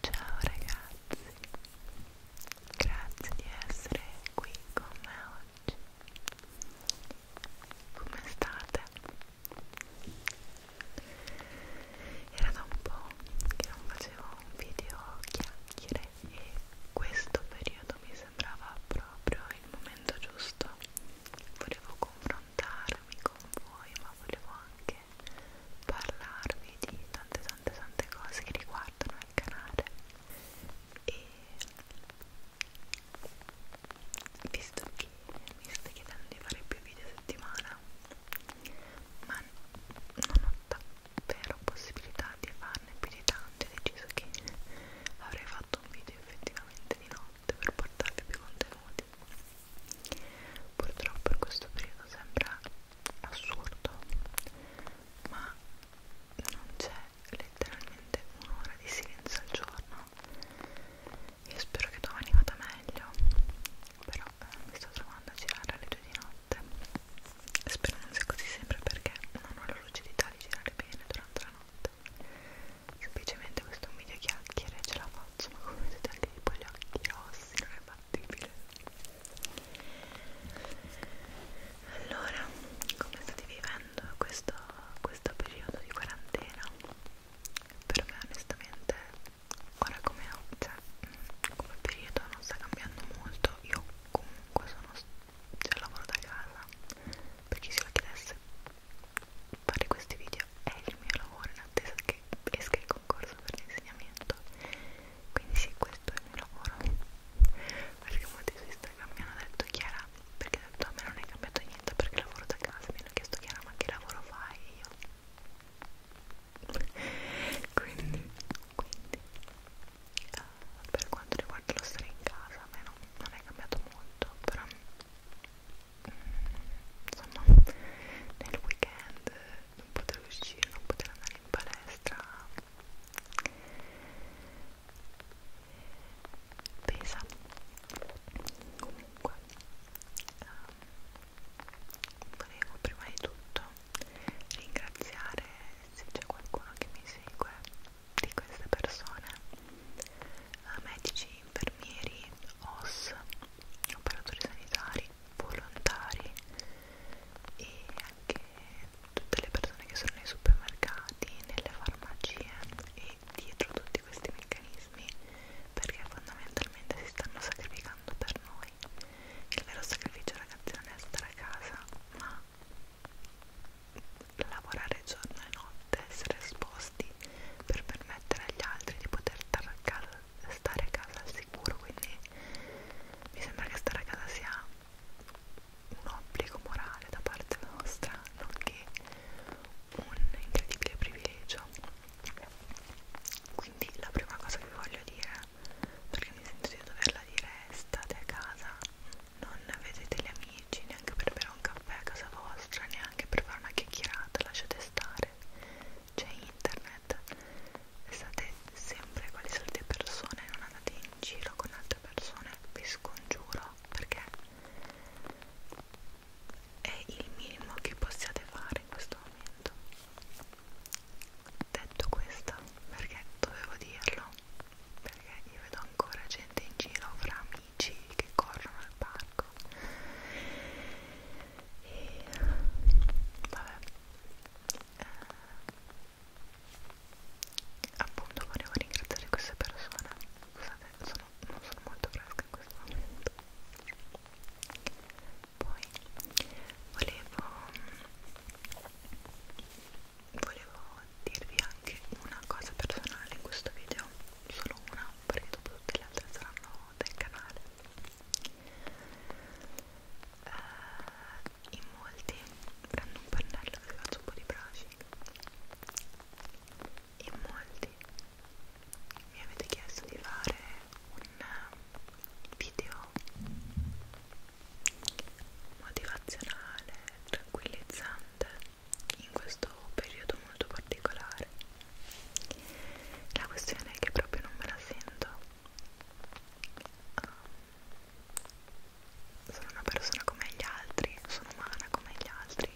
Ciao ragazzi, grazie di essere qui con me oggi. Come state? Era da un po' che non facevo un video chiacchiere e questo periodo mi sembrava proprio il momento giusto. Volevo confrontarmi con voi, ma volevo anche anche parlarvi di tante tante tante cose che riguardano il canale e visto che mi state chiedendo di fare più video a settimana ma non ho davvero possibilità di farne più di tanti ho deciso che avrei fatto un video effettivamente di notte per portarvi più contenuti Purtroppo in questo periodo sembra assurdo, ma non c'è letteralmente un'ora di silenzio al giorno. Io spero che domani vada meglio, però eh, mi sto trovando a girare alle 2 di notte. Spero non sia così sempre perché non ho la lucidità di girare bene durante la notte. Semplicemente questo è un video chiacchiere, ce la faccio, ma come vedete anche tipo gli occhi rossi non è fattibile allora come state vivendo questo, questo periodo di quarantena per me onestamente ora come, cioè, come periodo non sta cambiando molto io comunque sono cioè, lavoro da casa per chi se lo chiedesse fare questi video è il mio lavoro in attesa che esca il concorso per l'insegnamento quindi sì questo è il mio lavoro perché molti su Instagram mi hanno detto Chiara perché ho detto a me non è cambiato niente perché lavoro da casa mi hanno chiesto Chiara ma che lavoro fai io quindi, quindi uh, per quanto riguarda lo stare in casa a me non, non è cambiato molto però insomma nel weekend non poter uscire, non poter andare in palestra pesa comunque um, volevo prima di tutto ringraziare se c'è qualcuno che mi segue di queste persone eh, medici, infermieri, OS operatori sanitari, volontari e anche tutte le persone che sono nei supermercati, nelle farmacie e dietro tutti questi meccanismi perché fondamentalmente si stanno sacrificando per noi. Il vero sacrificio ragazzi non è stare a casa ma lavorare giorno e notte, essere esposti per permettere agli altri di poter stare a casa stare a casa al sicuro quindi mi sembra che stare a casa sia un obbligo morale da parte nostra nonché un incredibile privilegio quindi la prima cosa che voglio dire perché mi sento di doverla dire è state a casa non vedete gli amici neanche per bere un caffè a casa vostra neanche per fare una chiacchierata lasciate stare cellulare, c'è internet e state sempre quali solite persone, non andate in giro con altre persone, vi scongiuro perché è il minimo che possiate fare in questo momento. Detto questo, perché dovevo dirlo? Perché io vedo ancora gente in giro fra amici che corrono al parco e vabbè eh, appunto volevo ringraziare queste persone scusate sono, non sono molto fresca in questo momento poi volevo volevo dirvi anche una cosa personale in questo video solo una perché dopo tutte le altre saranno del canale uh, in molti prendo un pennello e faccio un po' di brushing in molti mi avete chiesto di fare un video motivazionale, tranquillizzante in questo periodo molto particolare la questione è che proprio non me la sento um, sono una persona come gli altri sono umana come gli altri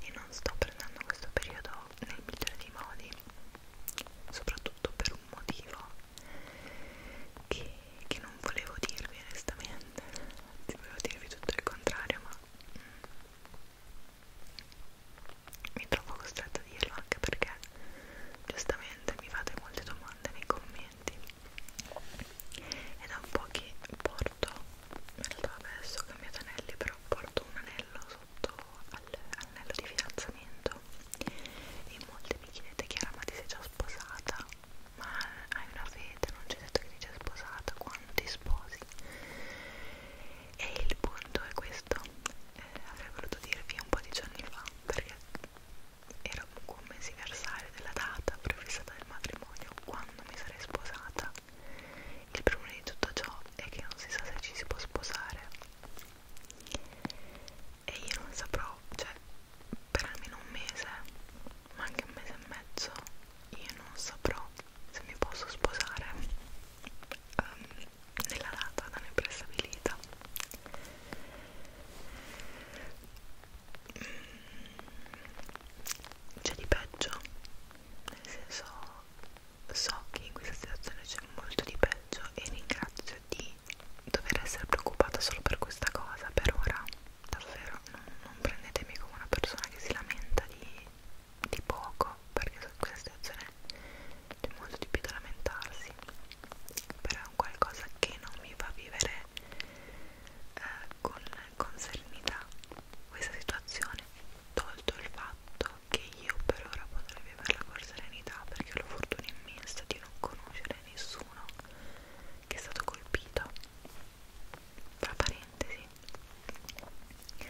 e non sto prendendo questo periodo nel migliore dei modi soprattutto per un motivo che, che non volevo dirvi onestamente anzi volevo dirvi tutto il contrario ma mi trovo costretta a dirlo anche perché giustamente mi fate molte domande nei commenti e da un po' che porto in realtà adesso ho cambiato anelli però porto un anello sotto all'anello di fidanzamento e molti mi chiedete Chiara ma ti sei già sposata? ma hai una fede? non c'è detto che ti sei sposata? quando ti sposi? e il punto è questo eh, avrei voluto dirvi un po' di giorni fa perché era un commesiversario della data prefissata del matrimonio quando mi sarei sposata il problema di tutto ciò è che non si sa se ci si può sposare e io non saprò, cioè per almeno un mese ma anche un mese e mezzo io non saprò se mi posso sposare um, nella data da me prestabilita mm, c'è di peggio nel senso so che in questa situazione c'è molto di peggio e ringrazio di dover essere preoccupata solo per questa cosa per ora davvero non, non prendetemi come una persona che si lamenta di di poco perché so questa situazione c'è molto di più da lamentarsi però è un qualcosa che non mi fa vivere eh, con, con serenità questa situazione tolto il fatto che io per ora potrei viverla con serenità perché ho la fortuna immensa di non conoscere nessuno che è stato colpito tra parentesi eh,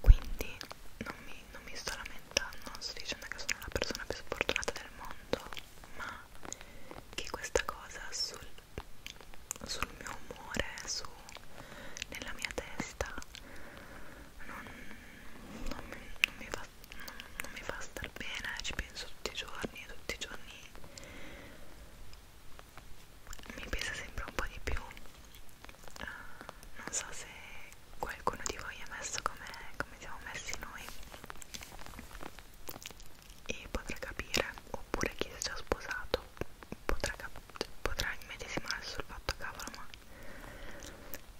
quindi non mi, non mi sto lamentando non sto dicendo che sono la persona più sfortunata del mondo ma che questa cosa sul, sul mio umore su, nella mia testa non, non, mi, non mi fa fa, non, non mi fa star bene, ci penso tutti i giorni, tutti i giorni mi pesa sempre un po' di più. Uh, non so se qualcuno di voi è messo come, come siamo messi noi e potrà capire, oppure chi si è già sposato potrà, potrà immedesimarsi sul fatto cavolo ma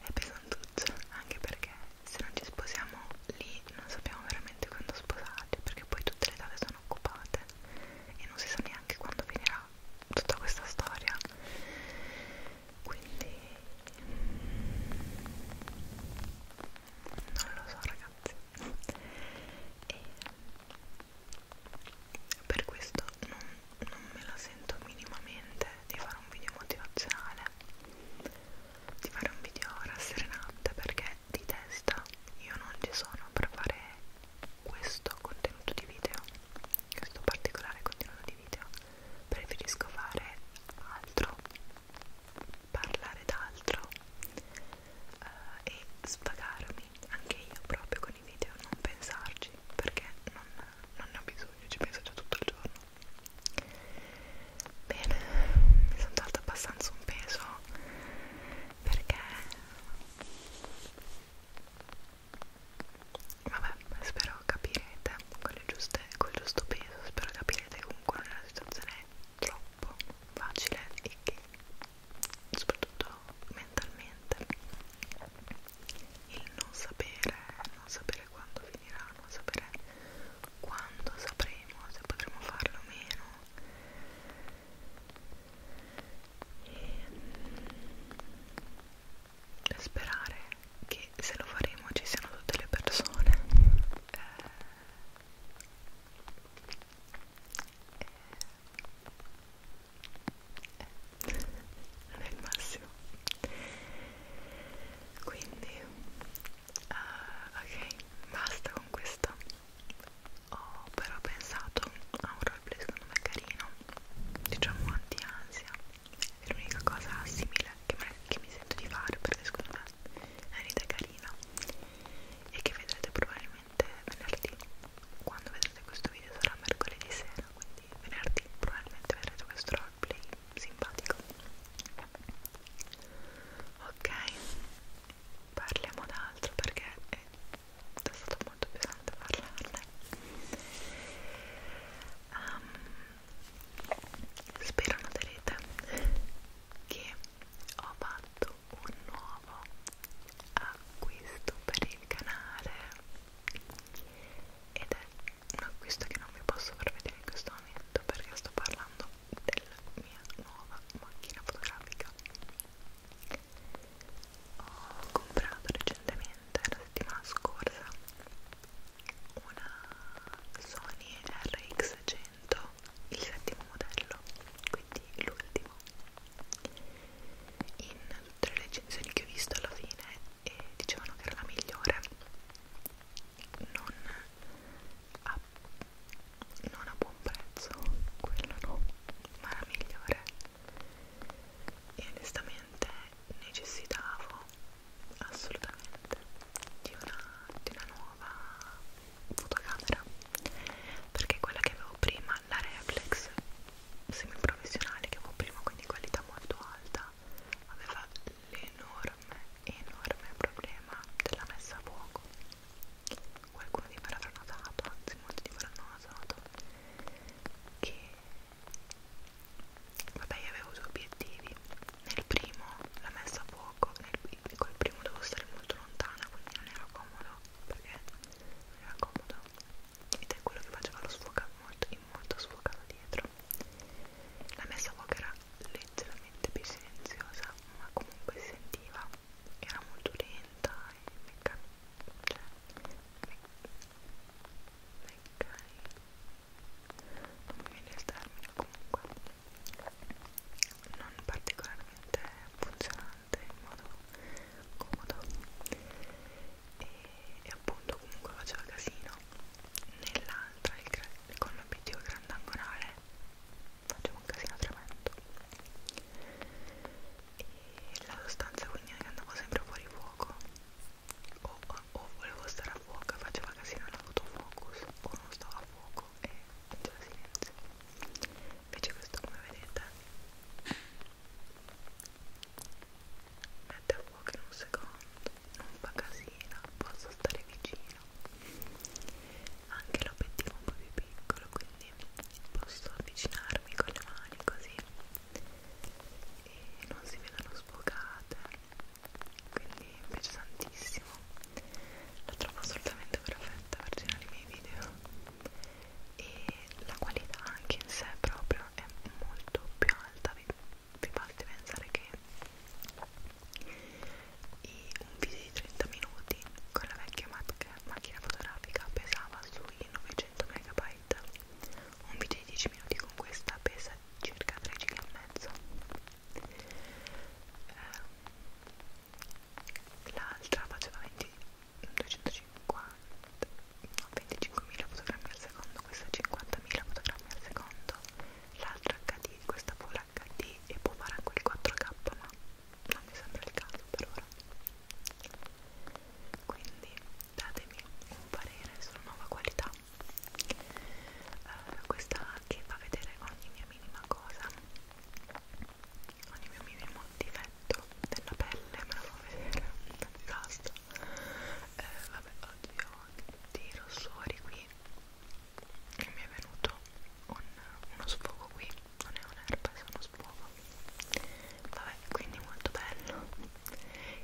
è pesantuccio anche perché se non ci sposiamo lì non sappiamo veramente quando sposarci perché poi tutte le date sono occupate e non si sa neanche quando finirà tutta questa storia quindi non lo so ragazzi e per questo non, non me la sento minimamente di fare un video motivazionale di fare un video rasserenante perché di testa io non ci sono per fare questo contenuto di video questo particolare contenuto di video preferisco fare altro parlare d'altro uh, e svagarmi anche io proprio con i video non pensarci perché non, non ne ho bisogno ci penso già tutto il giorno Bene, mi sono tolta abbastanza un peso perché vabbè, spero capirete con le giuste, col giusto peso, spero capirete comunque non è una situazione troppo facile e che soprattutto mentalmente il non sapere, non sapere quando finirà, non sapere quando sapremo se potremo farlo o meno e mm, sperare che se lo faremo ci siano tutte le persone eh, eh, eh, non è il massimo quindi Uh, ok, basta con questo. Ho però pensato a un roleplay secondo me carino, diciamo anti-ansia. È l'unica cosa simile che, me, che mi sento di fare perché secondo me è un'idea carina e che vedrete probabilmente venerdì. Quando vedrete questo video sarà mercoledì sera, quindi venerdì probabilmente vedrete questo roleplay simpatico ok parliamo d'altro perché è stato molto pesante parlarne um, spero noterete che ho fatto un nuovo acquisto per il canale ed è un acquisto che non vi posso far vedere in questo momento perché sto parlando della mia nuova macchina fotografica ho comprato recentemente la settimana scorsa una Sony RX100 il settimo modello quindi l'ultimo in tutte le recensioni che ho visto alla fine e dicevano che era la migliore non a, non a buon prezzo, quello no, ma la migliore e onestamente necessitavo assolutamente di una, di una nuova fotocamera perché quella che avevo prima, la reflex semiprofessionale che avevo prima, quindi qualità molto alta aveva l'enorme, enorme problema della messa a fuoco. Qualcuno di voi l'avrà notato, anzi molti di voi l'hanno notato, che vabbè io avevo due obiettivi. Nel primo la messa a fuoco, nel, col primo dovevo stare molto lontana, quindi non era comodo, perché non era comodo ed è quello che faceva lo sfocato molto, in molto sfocato dietro dentro la messa voce era leggermente più silenziosa ma comunque si sentiva era molto lenta e meccanica cioè, me meccanica non mi viene il termine comunque non particolarmente funzionante in modo comodo e, e appunto comunque faceva casino nell'altra con l'obiettivo grandangolare faceva un casino tremendo e la sostanza quindi andava sempre fuori fuoco o, o, o volevo stare a fuoco e faceva casino all'autofocus o non stavo a fuoco e faceva silenzio invece questo come vedete mette a fuoco in un secondo, non fa casino, posso stare vicino anche l'obiettivo un po' più piccolo quindi posso avvicinarmi con le mani così e non si vedono sfocate quindi mi piace tantissimo la trovo assolutamente perfetta per girare i miei video e la qualità anche in sé proprio è molto più alta vi basti pensare che i, un video di 30 minuti con la vecchia macchina fotografica pesava sui 900 MB un video di 10 minuti con questa pesa circa 3 GB e mezzo ehm, l'altra faceva 20, 250 no, 25.000 fotogrammi al secondo, questa 50.000 fotogrammi al secondo, l'altra HD, questa Full HD e può fare anche il 4K, ma non mi sembra il caso per ora. Quindi datemi un parere sulla nuova qualità. Uh, questa che fa vedere ogni mia minima cosa, ogni mio minimo difetto della pelle me lo fa vedere, basta eh, vabbè oggi ho dei rossori qui e mi è venuto un, uno sfogo qui non è un'erba, è uno sfogo vabbè, quindi molto bello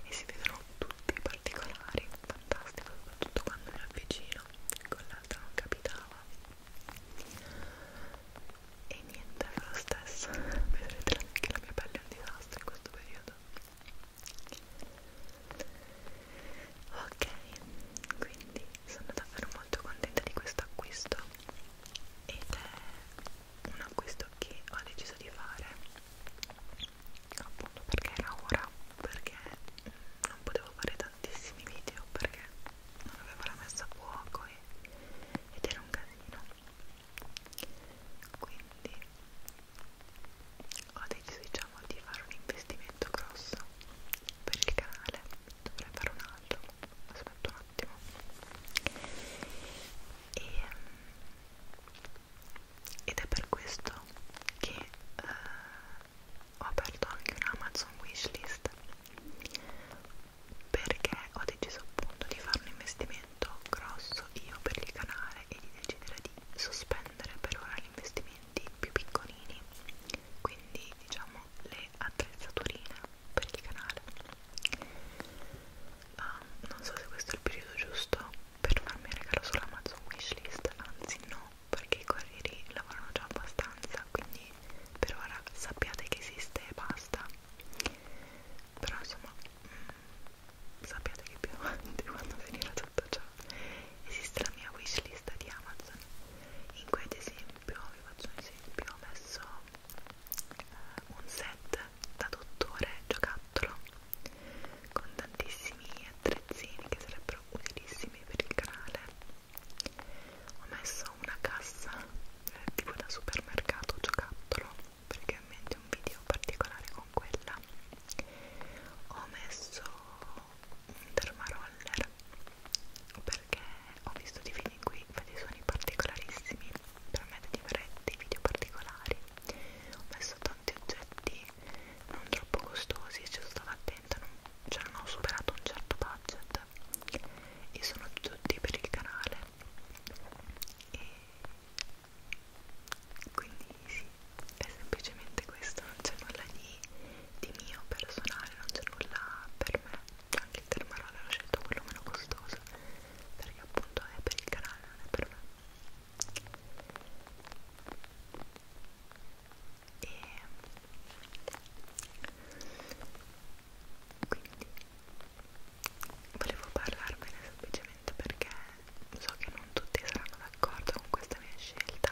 e si vedono tutti i particolari fantastico, soprattutto quando mi avvicino con l'altra non capitava e niente, è lo stesso vedrete anche la mia pelle è un disastro in questo periodo ok quindi sono davvero molto contenta di questo acquisto ed è un acquisto che ho deciso di fare appunto perché era ora perché non potevo fare tantissimi video perché non avevo la messa a fuoco e, ed era un casino quindi ho deciso diciamo di fare un investimento grosso per il canale dovrei fare un altro aspetta un attimo e, ehm, ed è per questo che eh, ho aperto anche un Amazon wishlist perché ho deciso appunto di fare un investimento investimento grosso io per il canale e di decidere di sospendere per ora gli investimenti più piccolini quindi diciamo le attrezzaturine per il canale uh, non so se questo è il periodo giusto per farmi regalo sull'Amazon wishlist anzi no perché i corrieri lavorano già abbastanza quindi per ora sappiate che esiste e basta però insomma mh, mm, sappiate che più avanti quando finirà tutto ciò esiste la mia wishlist di Amazon in cui ad esempio vi faccio un esempio ho messo eh, un set da dottore giocattolo con tantissimi attrezzini che sarebbero utilissimi per il canale ho messo una cassa eh, tipo da supermercato giocattolo perché ho in mente un video particolare con quella ho messo un dermaroller perché ho visto dei video in cui fa dei suoni particolarissimi per me di fare dei video particolari ho messo tanti oggetti non troppo costosi ci sono stata attenta non, cioè non ho superato un certo budget e sono tutti per il canale e quindi sì, è semplicemente questo, non c'è nulla di, di mio personale, non c'è nulla per me, anche il termarone ho scelto quello meno costoso perché appunto è per il canale, non è per me e quindi volevo parlarvene semplicemente perché so che non tutti saranno d'accordo con questa mia scelta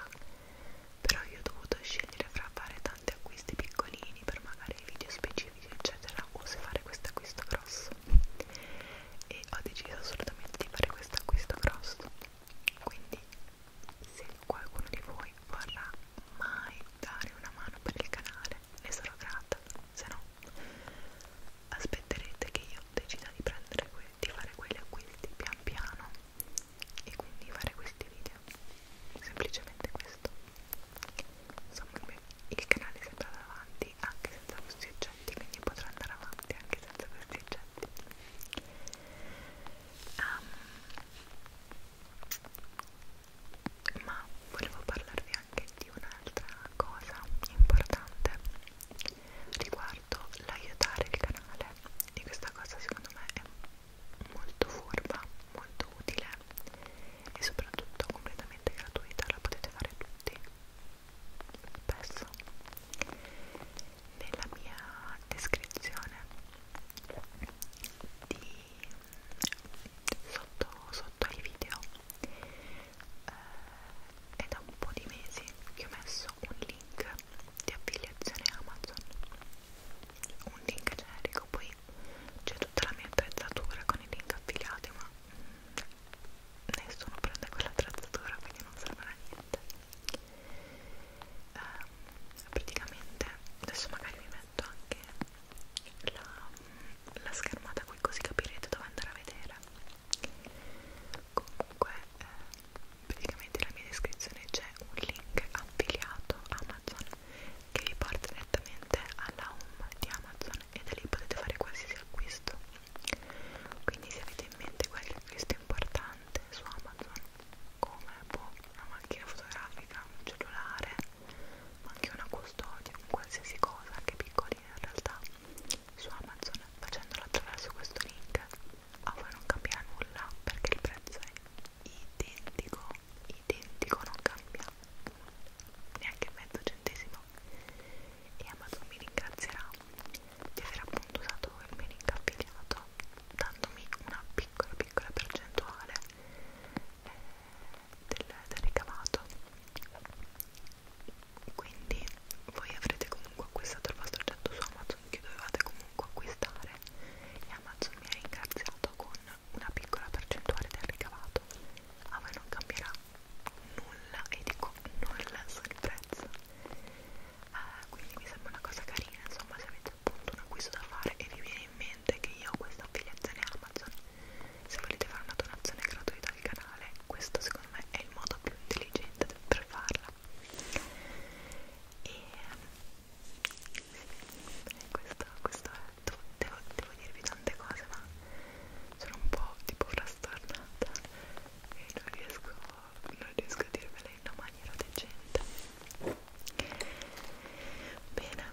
però io ho dovuto scegliere fra fare tanti acquisti piccolini per magari video specifici eccetera o se fare questo acquisto grosso e ho deciso assolutamente di fare questo acquisto grosso quindi se qualcuno di voi vorrà mai dare una mano per il canale piacere, ne sarò grata, se no aspetterete che io decida di prendere di fare quegli acquisti pian piano e quindi fare questi video semplicemente questo insomma il, mio, il canale è sempre davanti anche senza questi oggetti quindi potrò andare avanti anche senza questi oggetti um, ma volevo parlarvi anche di un'altra cosa importante riguardo l'aiutare il canale e questa cosa secondo me è molto furba, molto utile e soprattutto completamente gratuita, la potete fare tutti spesso nella mia descrizione di sotto, sotto ai video eh, è da un po' di mesi che ho messo un link di affiliazione Amazon un link generico poi c'è tutta la mia attrezzatura con i link affiliati ma mh, mm, nessuno prende quell'attrezzatura quindi non serve a niente eh, praticamente adesso magari mi metto anche la, la schermata qui così capirete dove andare a vedere comunque eh, praticamente nella mia descrizione c'è un link affiliato Amazon che vi porta direttamente alla home di Amazon e da lì potete fare qualsiasi acquisto quindi se avete in mente qualche acquisto importante su Amazon come boh, una macchina fotografica, un cellulare ma anche una custodia, un qualsiasi cosa, anche piccolina in realtà, su Amazon facendola attraverso questo link a voi non cambia nulla perché il prezzo è identico, identico non cambia neanche mezzo centesimo e Amazon mi ringrazierà di aver appunto usato il mio link affiliato dandomi una piccola piccola percentuale eh, del, del ricavato quindi voi avrete comunque acquistato il vostro oggetto su Amazon che dovevate comunque acquistare e Amazon mi ha ringraziato con una piccola percentuale del ricavato a voi non cambierà nulla e dico nulla sul prezzo eh, quindi mi sembra una cosa carina insomma se avete appunto un acquisto da fare e vi viene in mente che io ho questa affiliazione Amazon, se volete fare una donazione gratuita al canale, questo secondo me è il modo più intelligente per farla. E sì, questo, questo è tutto. Devo, devo dirvi tante cose, ma sono un po' tipo frastornata e non riesco, non riesco a dirvele in una maniera decente. Bene,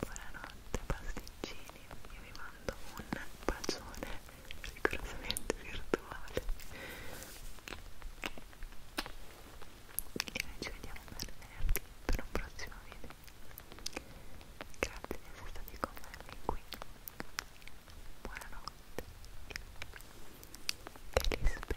Buonanotte pasticcini, io vi mando un bacione rigorosamente virtuale e noi ci vediamo per venerdì per un prossimo video grazie di essere stati con me fin qui buonanotte e vi spero